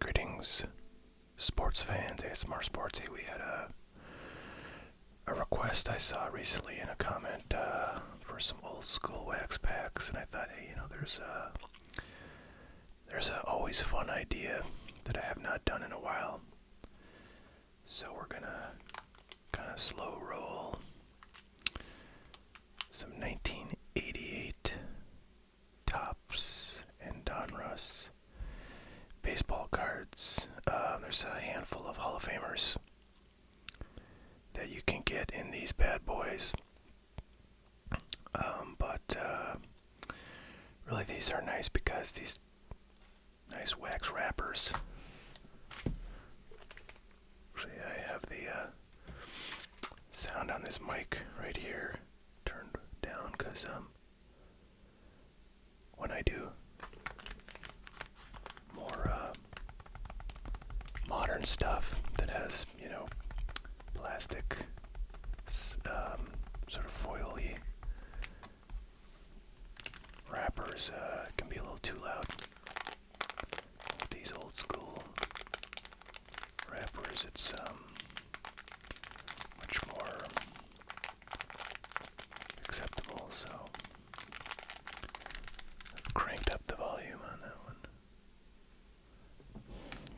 Greetings, sports fans, ASMR Sports. Hey, we had a, a request I saw recently in a comment uh, for some old school wax packs, and I thought, hey, you know, there's a, there's a always fun idea that I have not done in a while. So we're gonna kind of slow roll. Some 1988 Tops and Donruss baseball cards. Um, there's a handful of Hall of Famers that you can get in these bad boys. Um, but uh, really, these are nice because these Nice wax wrappers. Actually, I have the uh, sound on this mic right here turned down because um, when I do more uh, modern stuff that has, you know, plastic, um, sort of foily Rappers uh, can be a little too loud. With these old school wrappers, it's um, much more acceptable. So cranked up the volume on that one.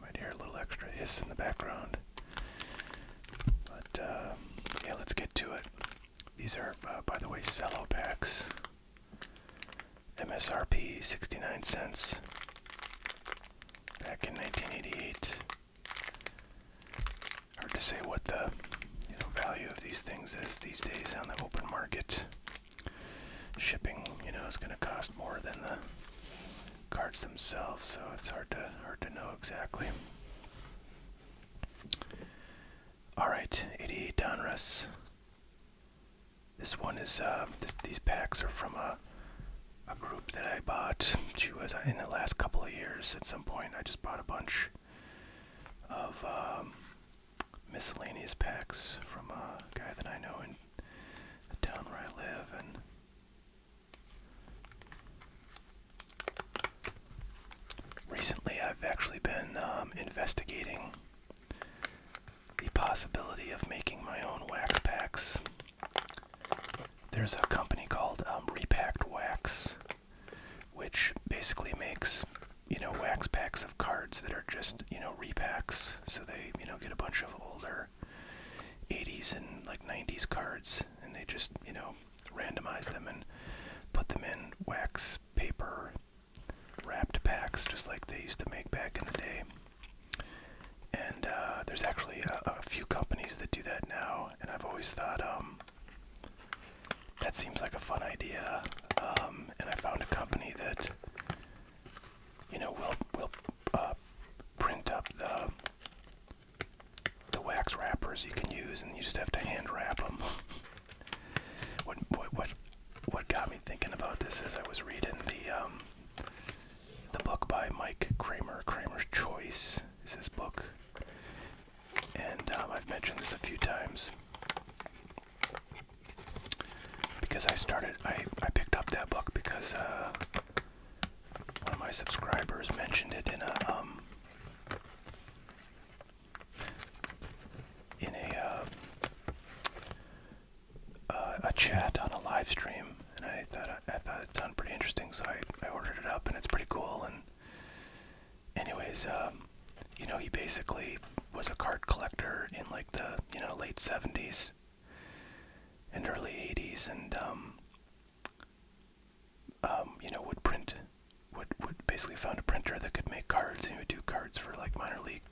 might hear a little extra hiss in the background. But um, yeah, let's get to it. These are, uh, by the way, cello packs. MSRP 69 cents back in 1988. Hard to say what the value of these things is these days on the open market. Shipping, you know, is going to cost more than the cards themselves, so it's hard to hard to know exactly. Alright, 88 Donruss. This one is, uh, these packs are from a, a group that I bought. She was uh, in the last couple of years at some point. I just bought a bunch of um, miscellaneous packs from a guy that I know in the town where I live. And Recently, I've actually been um, investigating the possibility of making my own wax packs. There's a company called um, Repacked Wax, which basically makes you know wax packs of cards that are just you know repacks. So they you know get a bunch of older 80s and like 90s cards, and they just you know randomize them and put them in wax paper wrapped packs just like they used to make back in the day. And uh, there's actually a, few companies that do that now, and I've always thought um, that seems like a fun idea. Um, and I found a company that you know will will uh, print up the the wax wrappers you can use, and you just have to hand wrap them. What what what what got me thinking about this is I was reading the um, the book by Mike Kramer, Kramer's Choice is his book. And um, I've mentioned this a few times because I started I, I picked up that book because uh, one of my subscribers mentioned it in a um, in a uh, uh, a chat on a live stream, and I thought I thought it sounded pretty interesting, so I I ordered it up, and it's pretty cool. And anyways, um, you know, he basically was a card collector in like the you know late '70s and early '80s, and um, um, you know, would print would would basically found a printer that could make cards, and he would do cards for like minor league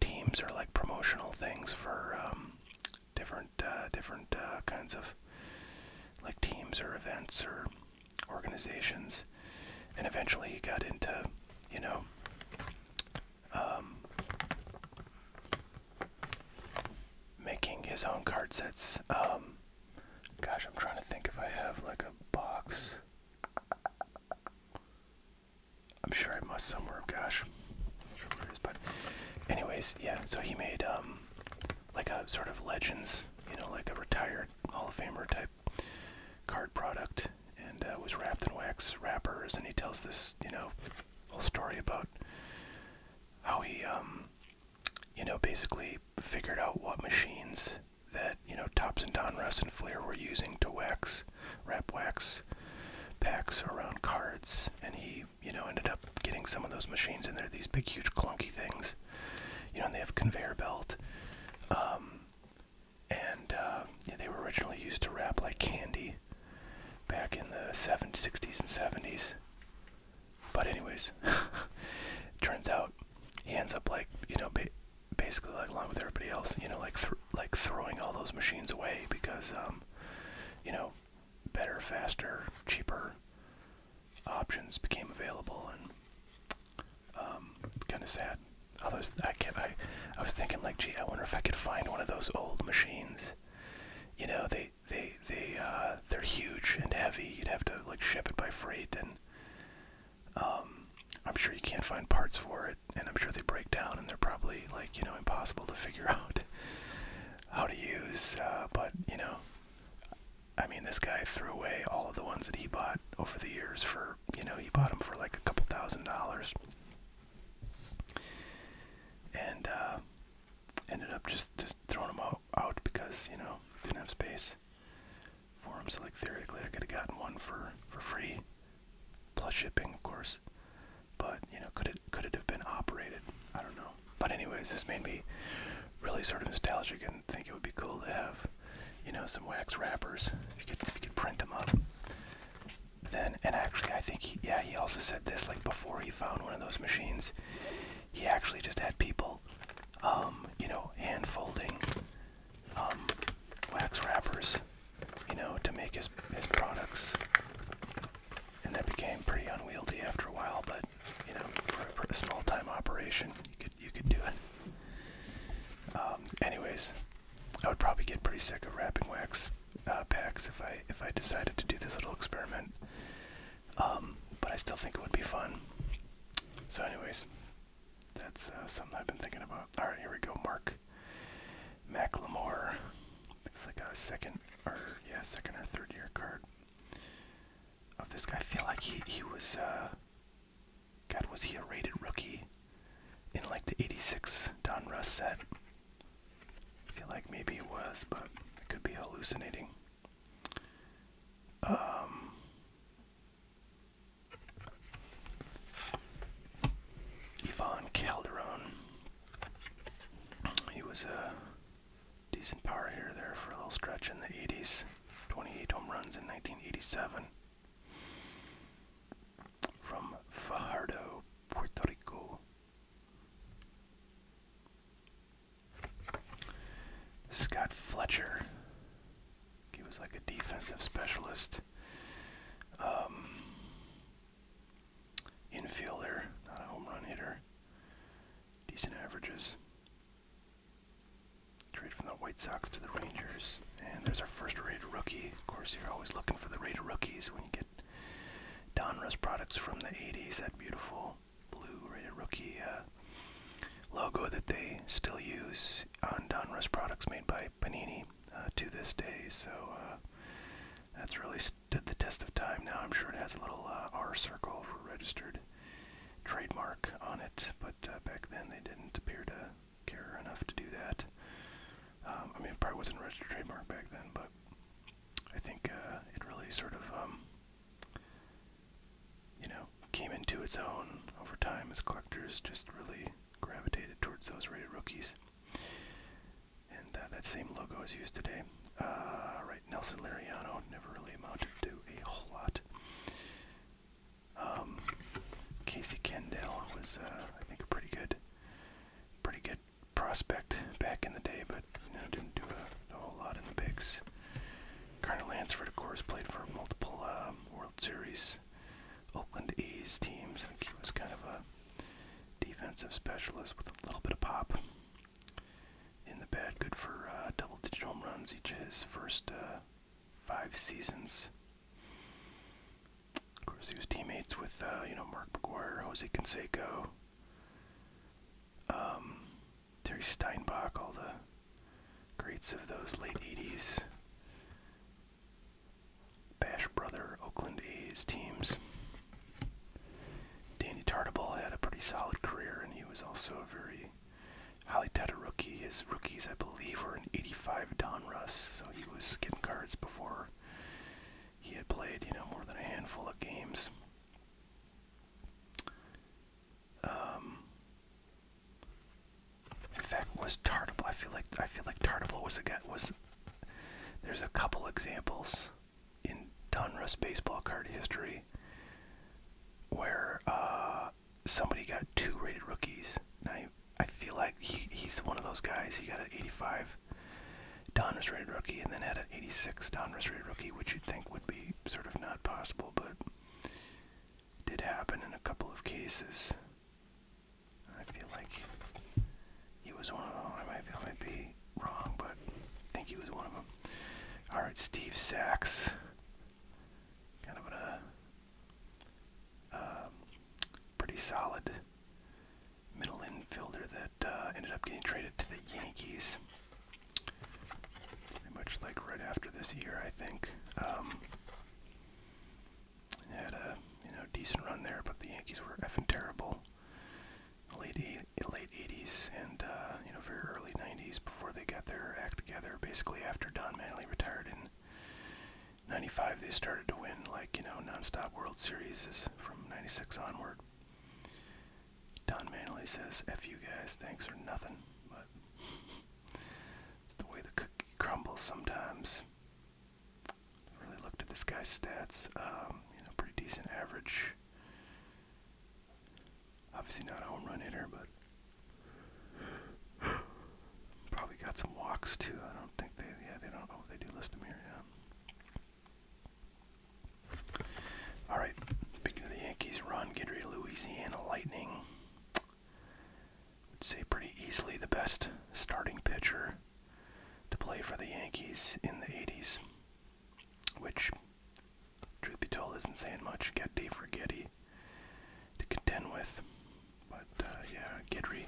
teams or like promotional things for um, different uh, different uh, kinds of like teams or events or organizations. And eventually, he got into you know. Um, making his own card sets. Um, gosh, I'm trying to think if I have like a box. I'm sure I must somewhere. Oh gosh, I'm sure where it is, but anyways, yeah. So he made um, like a sort of legends, you know, like a retired Hall of Famer type card product, and uh, was wrapped in wax wrappers. And he tells this, you know, whole story about how he um, you know, basically figured out what machines that you know Tops and Don Donruss and Flair were using to wax, wrap wax packs around cards, and he you know ended up getting some of those machines in there. These big, huge, clunky things, you know, and they have conveyor belt. Um, and uh, they were originally used to wrap like candy back in the 70s, 60s and 70s. But anyways, turns out he ends up like, you know, basically like along with everybody else, you know, like th like throwing all those machines away because um, you know, better, faster, cheaper options became available, and um, kind of sad. Although I kept, I, I was thinking like, gee, I wonder if I could find one of those old machines. You know, they they they uh, they're huge and heavy. You'd have to like ship it by freight, and um, I'm sure you can't find parts for it, and I'm sure they break down, and they're probably like you know impossible to figure out how to use. Uh, but you know, I mean, this guy threw away all of the ones that he bought over the years for you know he bought them for like a couple thousand dollars, and uh, ended up just just throwing them out, out because you know didn't have space for So like theoretically, I could have gotten one for for free, plus shipping, of course. But you know, could it could it have been operated? I don't know. But anyways, this made me really sort of nostalgic and think it would be cool to have, you know, some wax wrappers. If you could if you could print them up. Then and actually, I think he, yeah, he also said this like before he found one of those machines. He actually just had people, um, you know, hand folding um, wax wrappers, you know, to make his his products, and that became pretty unwieldy after a while. But you know, for, a small time operation, you could you could do it. Um, anyways, I would probably get pretty sick of wrapping wax uh, packs if I if I decided to do this little experiment. Um, but I still think it would be fun. So, anyways, that's uh, something I've been thinking about. All right, here we go. Mark McLemore. It's like a second or yeah, second or third year card of oh, this guy. feel like he he was uh, God was he a rated rookie in like the '86 Don Russ set? feel like maybe he was, but it could be hallucinating. Um, Yvonne Calderon. He was a decent power hitter there for a little stretch in the 80s. 28 home runs in 1987. From Fajardo, Puerto Rico. Scott Fletcher. He was like a defensive specialist. Um, infielder, not a home run hitter. Decent averages. Trade from the White Sox to the Rangers. And there's our first rate rookie. Of course, you're always looking for the rate of rookies when you get Donruss products from the 80s. That beautiful blue rate of rookie uh, logo that they still use products, on Donruss products made by Panini uh, to this day. So uh, that's really stood the test of time. Now I'm sure it has a little uh, R circle for registered trademark on it, but back then they didn't appear to care enough to do that. Um, I mean, it probably wasn't registered trademark back then, but I think it really sort of um, you know, came into its own over time as collectors just really gravitated towards those rated rookies. And uh, that same logo is used today. Uh, right, Nelson Lariano never really amounted to a whole lot. Um, Casey Kendall was, uh, I think, a pretty good, pretty good prospect back in the day, but you know, didn't do a, whole lot in the bigs. Carter Lansford, of course, played for multiple um, World Series A's, Oakland A's teams. I think he was kind of a defensive specialist with a little bit of pop in the bat. Good for uh, double-digit home runs each of his first uh, five seasons. Of course, he was teammates with uh, you know Mark McGuire, Jose Canseco, um, Terry Steinbach, all the Greats of those late 80s. Bash Brother Oakland A's teams. Danny Tartable had a pretty solid career, and he was also a very highly touted rookie. His rookies, I believe, were an 85 Russ, so he was skipping cards before he had played, you know, more than a handful of games. Um, in fact, was Tardible? I feel like I feel like Tartable was again was. There's a couple examples in Donruss baseball card history where uh, somebody got two rated rookies. I I feel like he, he's one of those guys. He got an 85 Donruss rated rookie and then had an 86 Donruss rated rookie, which you'd think would be sort of not possible, but did happen in a couple of cases. I feel like he was one of them. I might, be wrong, but I think he was one of them. All right, Steve Sachs. Kind of a um, pretty solid middle infielder that uh, ended up getting traded to the Yankees. Pretty much like right after this year, I think. Um, had a you know decent run there, but the Yankees were effing terrible. Late late 80s and uh, you know very early 90s before they got their act together. Basically, after Don Manley retired in '95, they started to win like you know nonstop World Series from '96 onward. Don Manley says, "F you guys, thanks for nothing." But it's the way the cook he crumbles sometimes. Really looked at this guy's stats. Um, you know, pretty decent average. Obviously not a home run hitter, but probably got some walks too. I don't think they. Yeah, they don't. Oh, they do list them here. Yeah. All right. Speaking of the Yankees, Ron Guidry, Louisiana Lightning would say pretty easily the best starting pitcher to play for the Yankees in the 80s, which, truth be told, isn't saying much. Get Dave Rigetti to contend with. But uh, yeah, Guidry.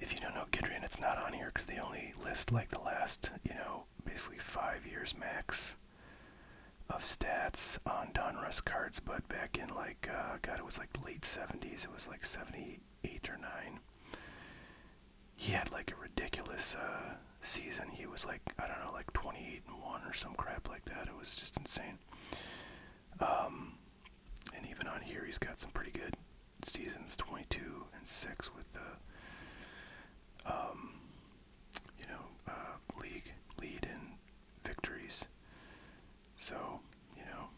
If you don't know Guidry, and it's not on here because they only list like the last, you know, basically five years max of stats on Donruss cards, but back in like, uh, God, it was like late 70s. It was like 78 or 9. He had like a ridiculous uh, season. He was like, I don't know, like 28 and 1 or some crap like that. It was just insane. Um, and even on here, he's got some pretty good seasons 22 and 6 with the, um, you know, uh, league lead in victories. So, you know,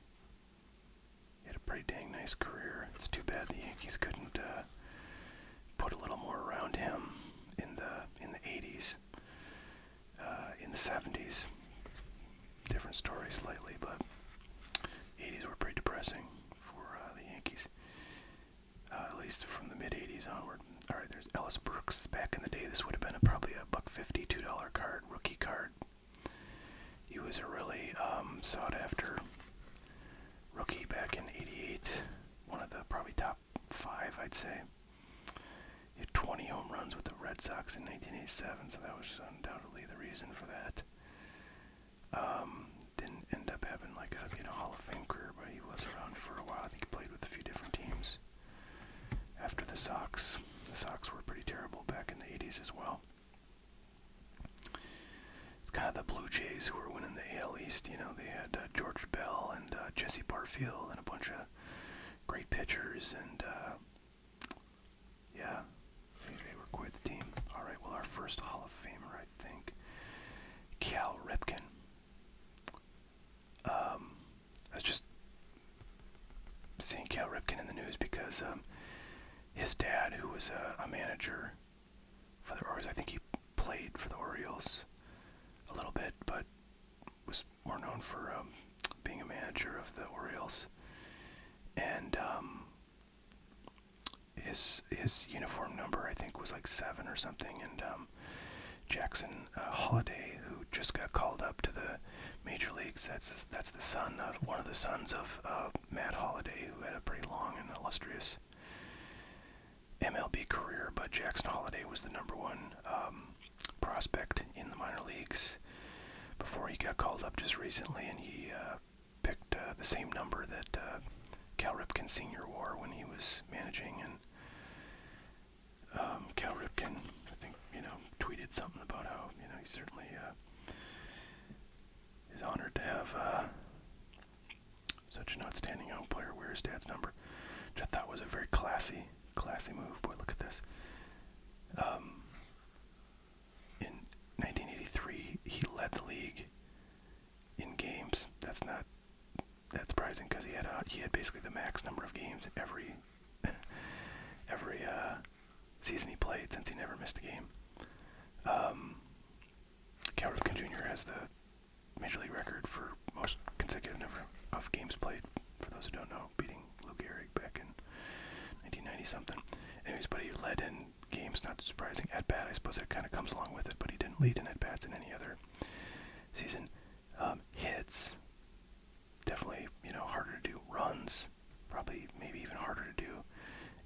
he had a pretty dang nice career. It's too bad the Yankees couldn't uh, put a little more around him in the in the 80s, uh, in the 70s. Different stories lately, but 80s were pretty depressing for uh, the Yankees, at least from the mid 80s onward. All right, there's years. Ellis Brooks back in the day, this would have been a, probably a buck fifty, two dollar card, rookie card. He was a really um, sought after rookie back in '88. One of the probably top five, I'd say. He had 20 home runs with the Red Sox in 1987, so that was undoubtedly the reason for that. Um, didn't end up having like a you know Hall of Fame career, but he was around for a while. I think he played with a few different teams after the socks, The socks were pretty terrible back in the 80s as well. It's kind of the Blue Jays who were winning the AL East. You know, they had uh, George Bell and uh, Jesse Barfield and a bunch of great pitchers, and uh, yeah, they, were quite the team. All right, well, our first Hall of Famer, I think, Cal Ripken. Um, I was just seeing Cal Ripken in the news because um, his dad, who was a, a manager for the Orioles, I think he played for the Orioles a little bit, but was more known for um, being a manager of the Orioles. And um, his his uniform number, I think, was like seven or something. And um, Jackson uh, Holliday, who just got called up to the major leagues. That's that's the son of one of the sons of uh, Matt Holliday, who had a pretty long and illustrious MLB career. But Jackson Holliday was the number one um, prospect in the minor leagues before he got called up just recently, and he uh, picked the same number that Cal Ripken Sr. wore when he was managing and. Um, Cal Ripken, I think, you know, tweeted something about how, you know, he certainly uh, is honored to have uh, such an outstanding young player wear his dad's number, which I thought was a very classy, classy move. Boy, look at this. Um, in 1983, he led the league in games. That's not that surprising because he had a, he had basically the max number of games every every uh, season he played since he never missed a game. Cal Ripken Jr. has the major league record for most consecutive number of games played. For those who don't know, beating Lou Gehrig back in 1990 something. Anyways, but he led in games. Not surprising at bat. I suppose that kind of comes along with it. But he didn't lead in at bats in any other season. Um, hits, definitely, you know, harder to do. Runs, probably maybe even harder to do.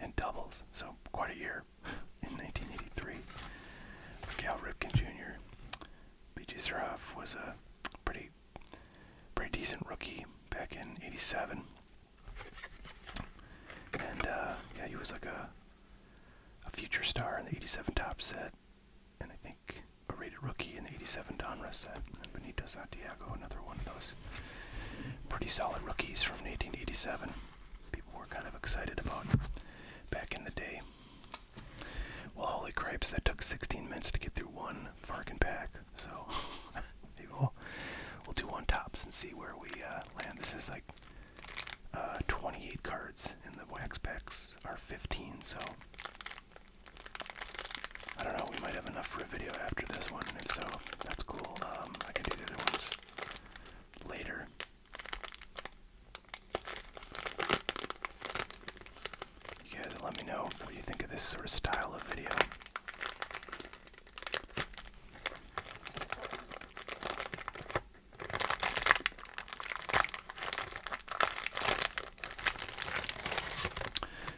And doubles, so quite a year in 1983 for Cal Ripken Jr. B.J. Seraf was a pretty, pretty decent rookie back in '87, and uh, yeah, he was like a a future star in the '87 top set and I think a rated rookie in the 87 Donruss set, and Benito Santiago, another one of those pretty solid rookies from 1987. People were kind of excited about back in the day. Well, holy cripes, that took 16 minutes to get through one Farkin pack, so maybe we'll, we'll do one tops and see where we uh, land. This is like uh, 28 cards, and the wax packs are 15, so I don't know, we might have enough for a video after this one, and if so, that's cool. Um, I can do the other ones later. You guys let me know what you think of this sort of style of video.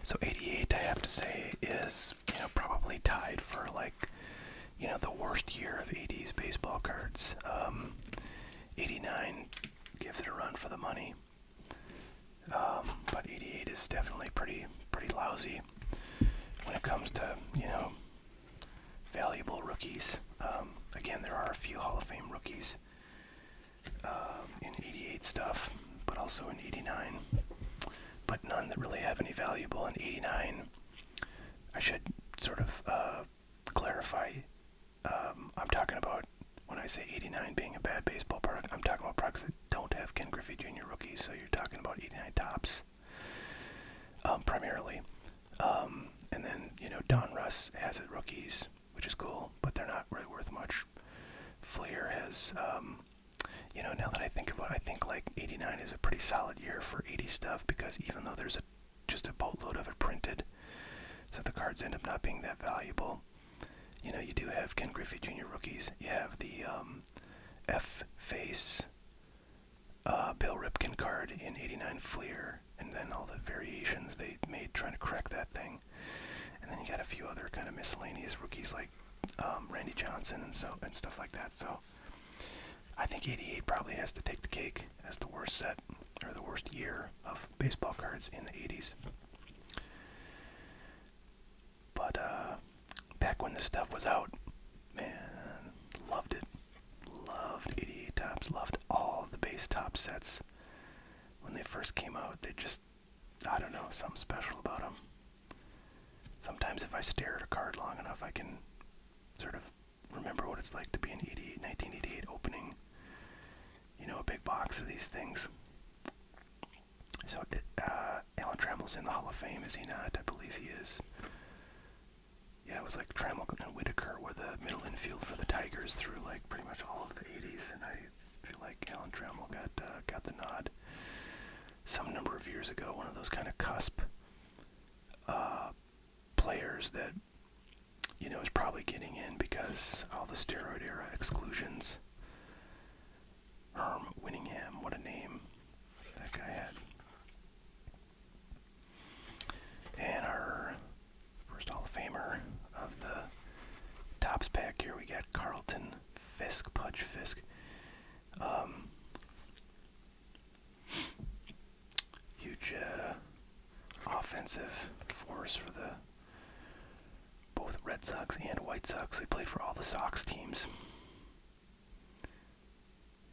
So 88, I have to say, is you know probably tied for like you know the worst year of 80s baseball cards. Um, 89 gives it a run for the money, um, but 88 is definitely pretty pretty lousy when it comes to you know valuable rookies. Um, again, there are a few Hall of Fame rookies in 88 stuff, but also in 89. But none that really have any valuable in 89. I should sort of uh, clarify. Um, I'm talking about when I say 89 being a bad baseball product, I'm talking about products that don't have Ken Griffey Jr. rookies. So you're talking about 89 tops um, primarily. Um, and then, you know, Don Russ has it rookies which is cool, but they're not really worth much. Fleer has, um, you know, now that I think of it, I think like 89 is a pretty solid year for 80 stuff because even though there's just a boatload of it printed, so the cards end up not being that valuable. You know, you do have Ken Griffey Jr. rookies. You have the um, F face uh, Bill Ripken card in 89 Fleer, and then all the variations they made trying to correct that thing. And then you got a few other kind of miscellaneous rookies like um, Randy Johnson and so and stuff like that. So I think 88 probably has to take the cake as the worst set or the worst year of baseball cards in the 80s. But uh, back when this stuff was out, man, loved it. Loved 88 tops. Loved all the base top sets when they first came out. They just I don't know, something special about them. Sometimes if I stare at a card long enough, I can sort of remember what it's like to be an 88, 1988 opening, you know, a big box of these things. So, uh, Alan Trammell's in the Hall of Fame, is he not? I believe he is. Yeah, it was like Trammell and Whitaker were the middle infield for the Tigers through like pretty much all of the 80s, and I feel like Alan Trammell got uh, got the nod some number of years ago. One of those kind of cusp uh, players that you know is probably getting in because all the steroid era exclusions. Herm Winningham, what a name that guy had. And our first Hall of Famer of the Tops pack here we got Carlton Fisk, Pudge Fisk. Um, huge uh, offensive force for the both Red Sox and White Sox. He played for all the Sox teams.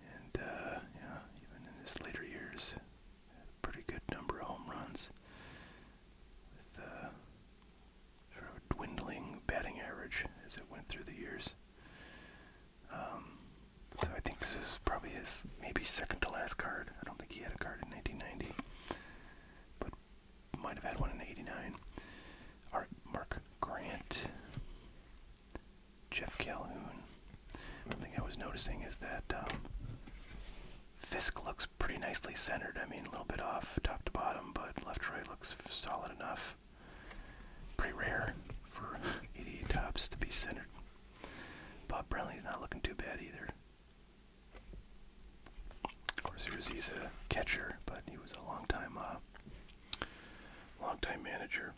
And uh, yeah, even in his later years, a pretty good number of home runs. Uh, sort of dwindling batting average as it went through the years. Um, so I think this is probably his maybe second to last card. I don't think he had a card in 1990, but might have had one in '89. Art Mark Grant, Jeff Calhoun. One thing I was noticing is that um, Fisk looks pretty nicely centered. I mean, a little bit off top to bottom, but left right looks solid enough. Pretty rare for 88 tops to be centered. Bob Brownlee's not looking too bad either. Of course, he was, a catcher, but he was a long time, uh, long time manager.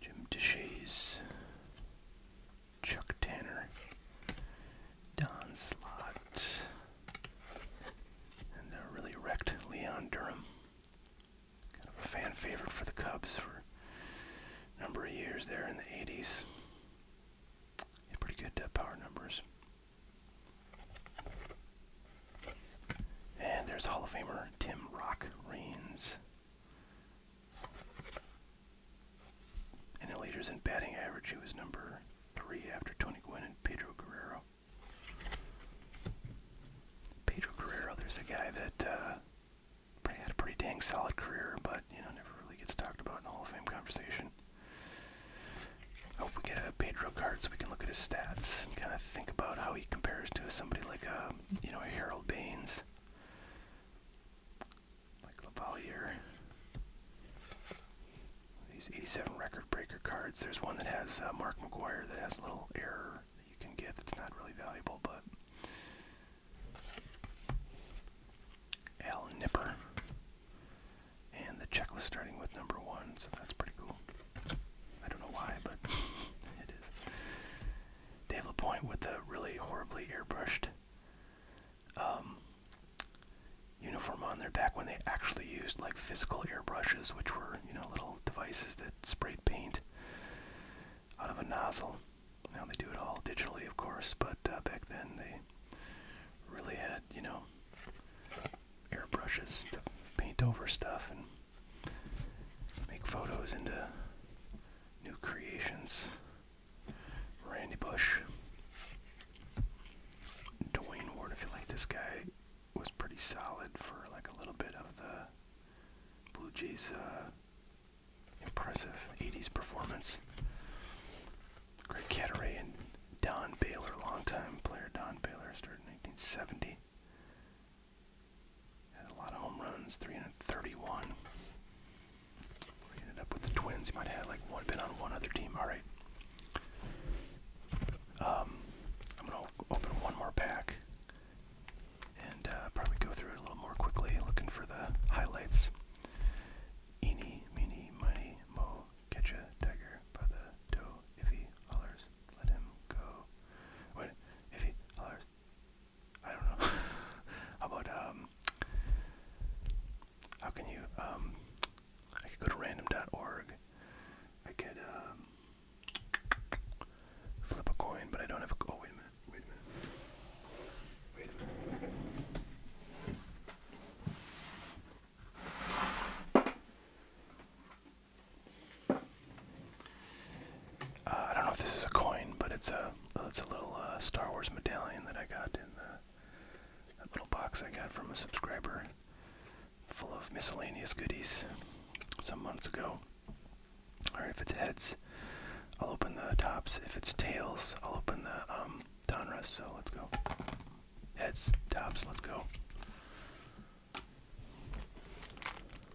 Jim DeShays, Chuck Tanner, Don Slott, and uh, really wrecked Leon Durham. Kind of a fan favorite for the Cubs for a number of years there in the 80s. pretty good power numbers. And there's Hall of Famer Tim Rock Reigns. In the leaders in batting average, he was number three after Tony Gwynn and Pedro Guerrero. Pedro Guerrero, there's a guy that uh, had a pretty dang solid career, but you know never really gets talked about in the Hall of Fame conversation. I hope we get a Pedro card so we can look at his stats and kind of think about how he compares to somebody like a um, you know Harold Baines like Lavalier. These 87 record breaker cards. There's one that has uh, Mark McGuire that has a little error that you can get that's not really valuable, but. L Nipper. And the checklist starting with number one, so that's pretty cool. I don't know why, but it is. Dave Lapointe with the really horribly airbrushed um, uniform on their back when they actually used like physical airbrushes, which were, you know, little devices that sprayed paint out of a nozzle. Now they do it all digitally, of course, but uh, back then they really had, you know, airbrushes to paint over stuff and make photos into New Creations, Randy Bush, Dwayne Ward. I feel like this guy was pretty solid for like a little bit of the Blue Jays' uh, impressive 80s performance. Greg Catteray and Don Baylor, longtime player Don Baylor, started in 1970. Had a lot of home runs, 331. ended up with the Twins. He might have been on one other team. All right. Um, I'm gonna open one more pack and uh, probably go through it a little more quickly, looking for the highlights. Eeny, meeny, miny, mo, catch a tiger by the toe. If he hollers, let him go. Wait, if he hollers, I don't know. how about um, how can you um, I could go to random.org. I could um, flip a coin, but I don't have a oh wait a minute. Wait a minute. Uh, I don't know if this is a coin, but it's a it's a little uh, Star Wars medallion that I got in the little box I got from a subscriber, full of miscellaneous goodies, some months ago. Or if it's heads, I'll open the tops. If it's tails, I'll open the um, Donruss. So let's go. Heads, tops, let's go.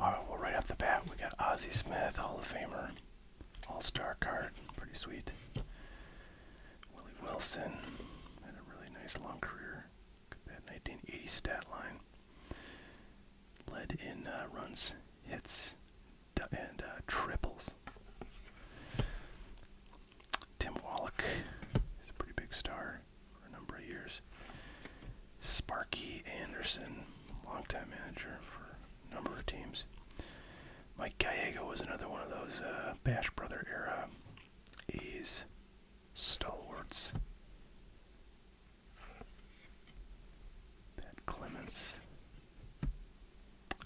Alright, well, right off the bat, we got Ozzy Smith, Hall of Famer, All Star card. Pretty sweet. Willie Wilson had a really nice long career. That 1980 stat line. Led in uh, runs, hits, and uh, triples. Tim Wallach is a pretty big star for a number of years. Sparky Anderson, long-time manager for a number of teams. Mike Gallego was another one of those uh, Bash Brother era stalwarts. Pat Clements.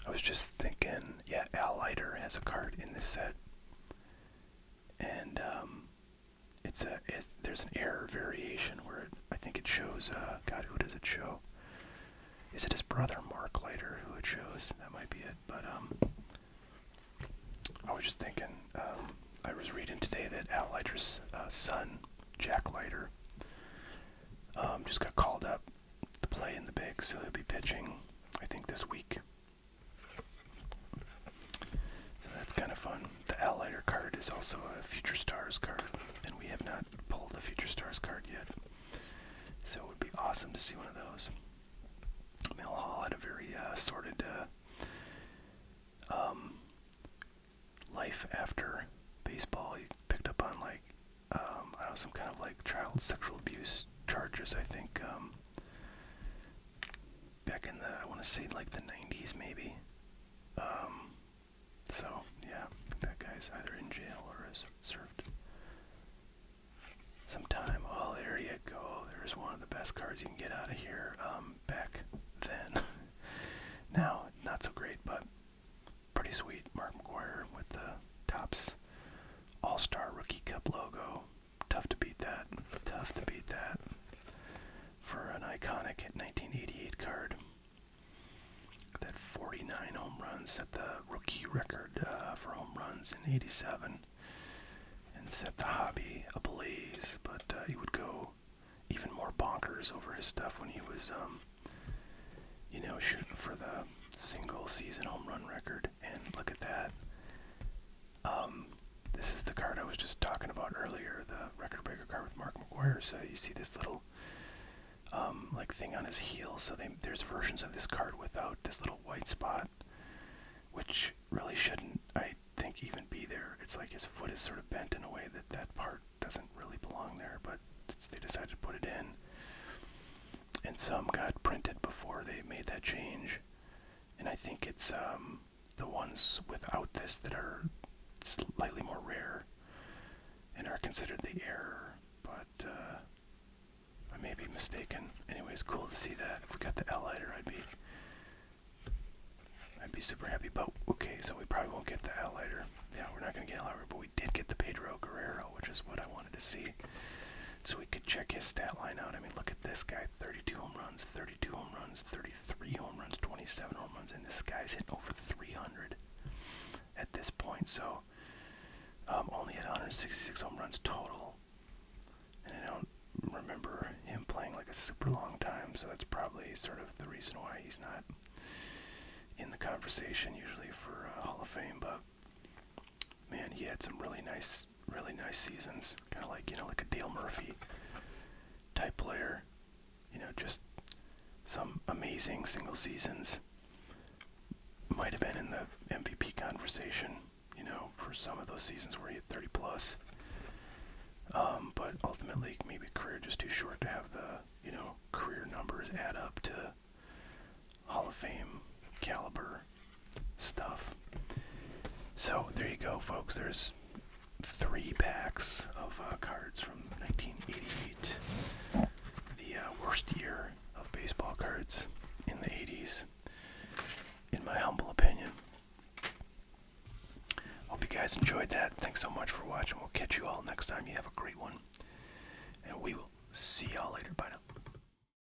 I was just thinking, yeah, Al Leiter has a card in this set and um, it's a there's an error variation where I think it shows. Uh, God, who does it show? Is it his brother Mark later who it shows? That might be it. But um, I was just thinking. Um, I was reading today that Al Leiter's uh, son, Jack Leiter, just got called up to play in the big, so he'll be pitching. I think this week so that's kind of fun. The Allider card is also a Future Stars card, and we have not pulled a Future Stars card yet. So it would be awesome to see one of those. Mill had a very uh, sordid uh, um, life after baseball. He picked up on like um, I don't know some kind of like child sexual abuse charges. I think um, back in the I want to say like the 90s maybe. Um, so yeah, that guy's either in jail or has served some time. Oh, there you go. There's one of the best cards you can get out of here. Um, back then, now not so great, but pretty sweet. Mark McGuire with the tops All Star Rookie Cup logo tough to beat that. Tough to beat that for an iconic 1988 card. That 49 home runs set the rookie record uh, for home runs in '87 and set the hobby ablaze. But uh, he would go even more bonkers over his stuff when he was, um, you know, shooting for the single season home run record and look at that. Um, this is the card I was just talking about earlier, the record breaker card with Mark McGuire. So you see this little um, like thing on his heel. So they, there's versions of this card without this little white spot, which really shouldn't, I think, even be there. It's like his foot is sort of bent in a way that that part doesn't really belong there, but they decided to put it in and some got printed before they made that change. And I think it's um, the ones without this that are slightly more rare and are considered the error, but uh, I may be mistaken. Anyways, cool to see that. If we got the L lighter, I'd be I'd be super happy. But okay, so we probably won't get the L lighter. Yeah, we're not gonna get L lighter, but we did get the Pedro Guerrero, which is what I wanted to see so we could check his stat line out. I mean, look at this guy 32 home runs, 32 home runs, 33 home runs, 27 home runs, and this guy's hitting over 300 at this point. So, um, only had 166 home runs total. And I don't remember him playing like a super long time, so that's probably sort of the reason why he's not in the conversation usually for uh, Hall of Fame. But man, he had some really nice, really nice seasons. Kind of like, you know, like a Dale Murphy type player. You know, just some amazing single seasons. Might have been in the MVP conversation, you know, for some of those seasons where he had 30 plus. Um, but ultimately, maybe career just too short to have the, you know, career numbers add up to Hall of Fame caliber stuff. So there you go, folks. There's three packs of uh, cards from 1988, the uh, worst year of baseball cards in the 80s, in my humble opinion. Hope you guys enjoyed that. Thanks so much for watching. We'll catch you all next time. You have a great one. And we will see y'all later. Bye now.